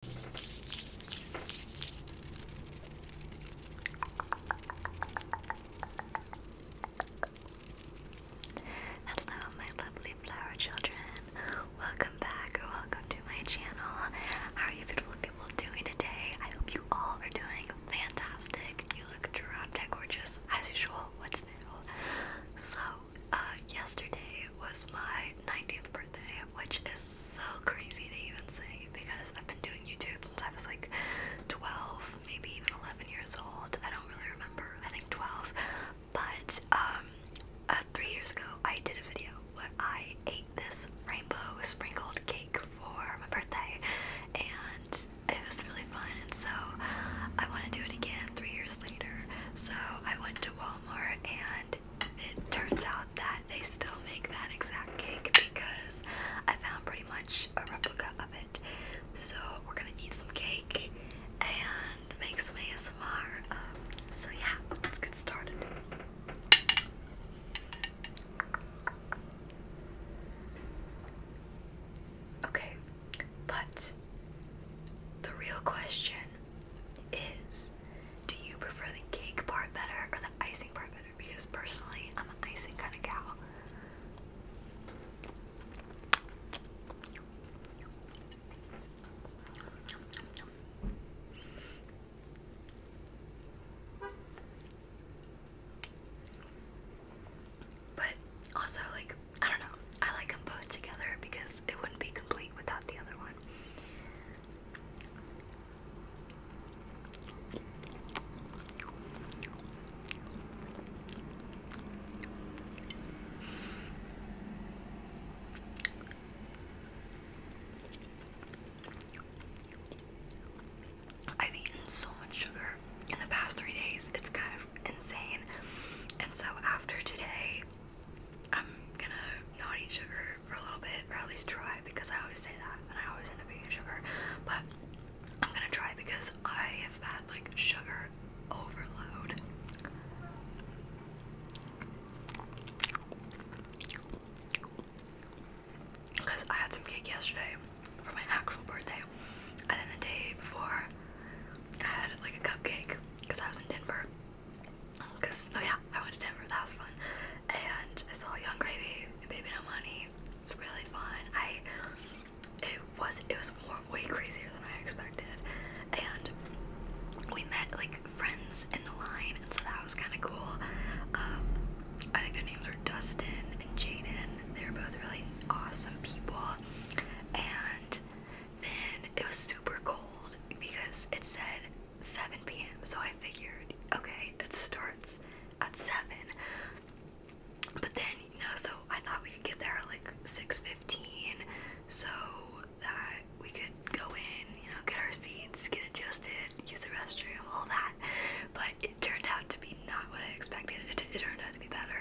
Hello, my lovely flower children. Welcome back or welcome to my channel. How are you beautiful people doing today? I hope you all are doing fantastic. You look drop dead gorgeous as usual. What's new? So, uh, yesterday was my 19th birthday, which is so crazy to even say because I've been doing YouTube since I was like 12, maybe even 11 years old. I don't really remember. I think 12. But um, uh, three years ago, I did a video where I ate this rainbow sprinkled cake for my birthday, and it was really fun. And so I want to do it again three years later. So I went to Walmart and it turns out that they still make that exact cake because I found pretty much a replica of it. So we're gonna eat some cake and make some ASMR. Um, so yeah, let's get started. Okay, but the real question is do you prefer the cake part better or the icing part better? Because personally, I'm an icing kind of gal. But also, like, I don't know, I like them both together because it wouldn't be complete without the other one. I've eaten so much sugar in the past three days, it's kind of insane. And so, after today, I'm gonna not eat sugar for a little bit, or at least try, because I always say that, and I always end up eating sugar. But I'm gonna try because I have had like sugar overload. Because I had some cake yesterday for my actual birthday, and then the day before I had like a cupcake because I was in Denver Cause oh yeah, I went to Denver. That was fun, and I saw Young Gravy and Baby No Money. It's really fun. I it was it was way crazier than I expected, and we met like friends in the line, and so that was kind of cool. Um, I think their names are Dustin and Jaden. They were both really awesome people, and then it was super cold because it said 7 p.m. So I figured, okay, it starts at 7. But then, you know, so I thought we could get there at like 6.15 so that we could go in, you know, get our seats, get adjusted, use the restroom, all that. But it turned out to be not what I expected. It, it turned out to be better.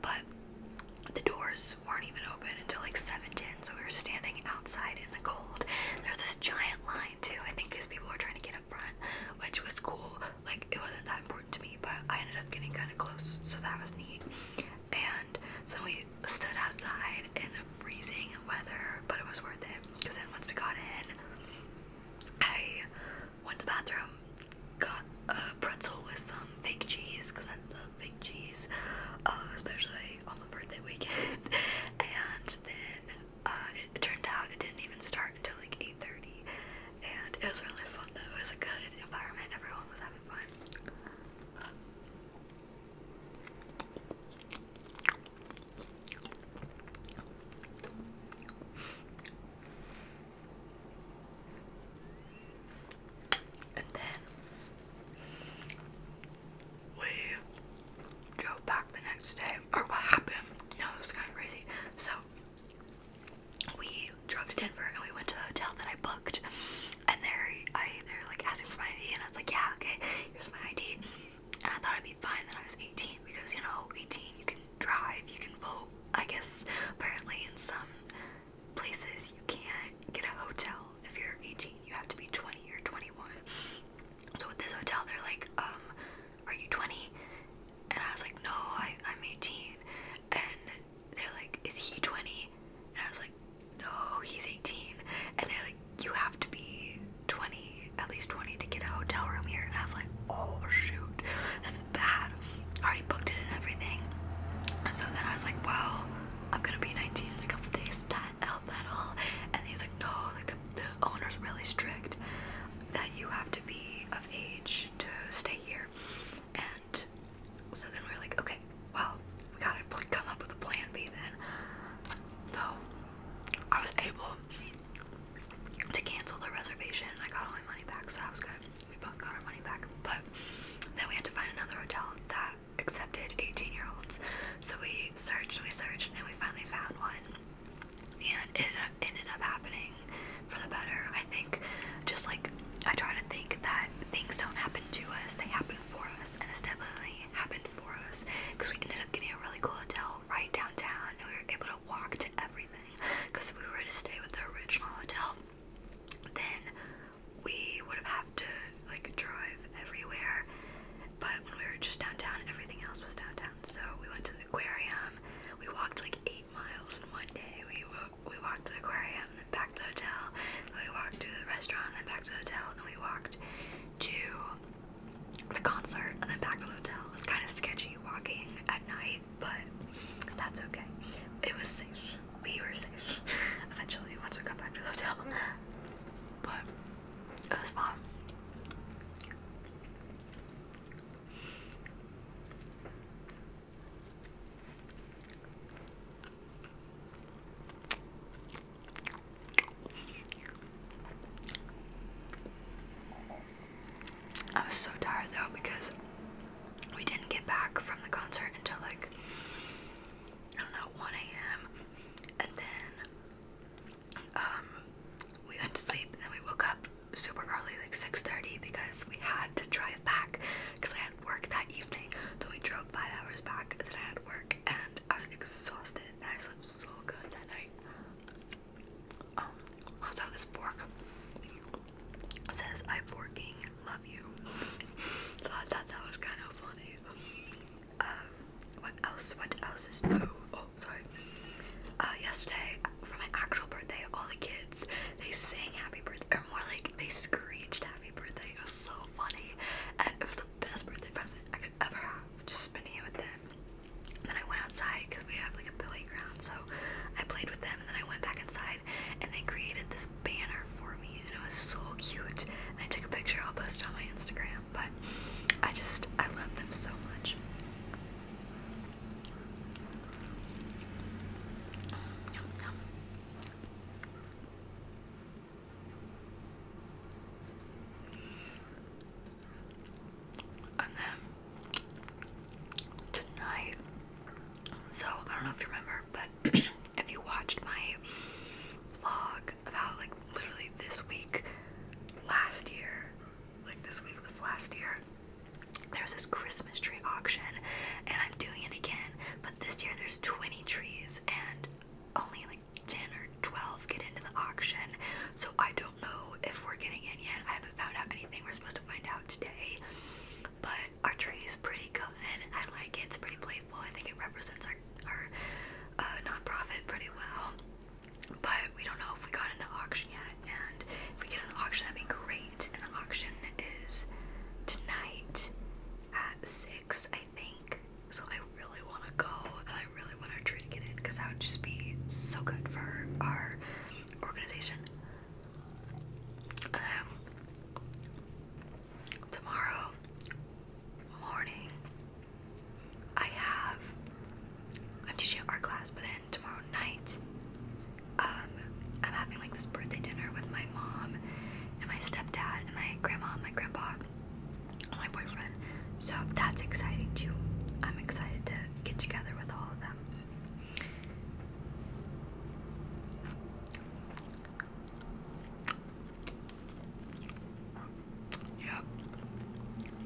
But the doors weren't even open until like 7:10, so we were standing outside in the cold. There's this giant line too, I think, because people were trying to get up front, which was cool. Like it wasn't that important to me, but I ended up getting kind of close, so that was neat. And so we stood outside in the freezing weather, but it was worth it because then once we got in, I went to the bathroom, got a pretzel with some fake cheese because I I'm fake cheese, uh, especially on the birthday weekend. and then uh, it turned out it didn't even start until like 8:30, and it was really fun though. It was a good environment. Everyone was having fun. And then we drove back the next day, or what happened? No, it was kind of crazy. So we drove to Denver and we went to the hotel that I booked, and there I they're like asking for my ID, and I was like, yeah, okay, here's my ID, and I thought I'd be fine that I was 18 because you know, 18 you can drive, you can vote, I guess apparently in some places you can't get a hotel if you're 18. You have to be 20 or 21. So with this hotel, they're like, um, are you 20? And I was like, no, I, I'm 18. And they're like, is he 20? And I was like, no, he's 18. And they're like, you have to be 20, at least 20 to get a hotel room here. And I was like, oh shoot, this is bad. I already booked it and everything. And so then I was like, well, I'm gonna be 19 in a couple days lease that up at all. And he's like, no, like the, the owner's really strict that you have to be of age to stay here. And so then we were like, okay, well, we gotta come up with a plan B then. So I was able to cancel the reservation. and I got all my money back, so that was good. We both got our money back. But then we had to find another hotel that accepted 18 year olds. So we searched and we searched and we finally found one. And it ended up happening for the better. I think just like I try to think that things don't happen to us, they happen for us. And it's definitely happened for us because we ended up getting a really cool hotel right downtown and we were able to walk to everything. Because we were to stay with the original hotel, then we would have had to like drive everywhere. But when we were just downtown, everything else was downtown. So we went to the aquarium. We walked like eight miles in one day. We we walked to the aquarium, and then back to the hotel. we walked to the restaurant, and then back to the hotel. then we walked to the concert, and then back to the hotel. It was kind of sketchy walking at night, but that's okay. It was safe we were safe eventually once we got back to the hotel. But it was fun. I was so tired though because we didn't get back from the concert until like I don't know, 1 a.m. And then um, we went to sleep and then we woke up super early, like 6.30 because we had to drive back because I had work that evening. So we drove five hours back and then I had work and I was exhausted and I slept so good that night. Um, also this fork says I forking love you. so I thought that was kind of funny. Um, what else? What else is Oh, sorry. Uh, yesterday for my actual birthday, all the kids they sang happy birthday, or more like they screeched happy birthday. It was so funny, and it was the best birthday present I could ever have. Just spending it with them. then I went outside because we have like a playground, so I played with them, then I went back inside, and they created this banner for me and it was so cute. I took a picture, I'll post it on my Instagram, but I just I love them so much. And then tonight, so I don't know if you remember, but if you watched my vlog about like literally this week last year, like this week with last year, there was this Christmas tree auction, and I'm doing it again, but this year there's 20 trees, and only like 10 or 12 get into the auction, so I don't know if we're getting in yet. I haven't found out anything. We're supposed to find out today, but our tree is pretty good. I like it. It's pretty playful. I think it represents our our uh, nonprofit pretty well. But we don't know if we got into auction yet, and if we get an auction, that'd be great. And the auction is tonight at six, I think. So I really want to go, and I really want our tree to get in because that would just be so good for our organization. Um, tomorrow morning I have I'm teaching art class, but then tomorrow night um I'm having like this birthday dinner with my mom and my stepdad and my grandma and my grandpa and my boyfriend. So that's exciting too. I'm excited to get together with all of them. Yep.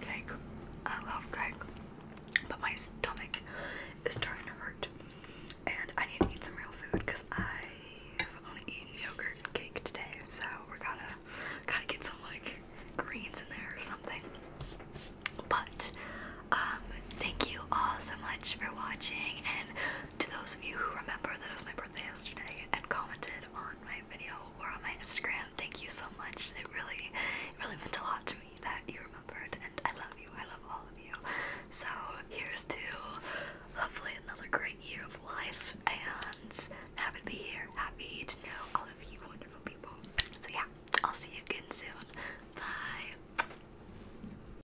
Cake. I love cake. But my stomach is starting to hurt. And I need to eat some real food because I've only eaten yogurt and cake today. So we gotta gotta get some like greens in there or something. But um, thank you all so much for watching and to those of you who remember that it was my birthday yesterday and commented on my video or on my Instagram, thank you so much. It really, really meant a lot to me that you remembered, and I love you. I love all of you. So here's to hopefully another great year of life, and happy to be here. Happy to know all of you wonderful people. So yeah, I'll see you again soon. Bye.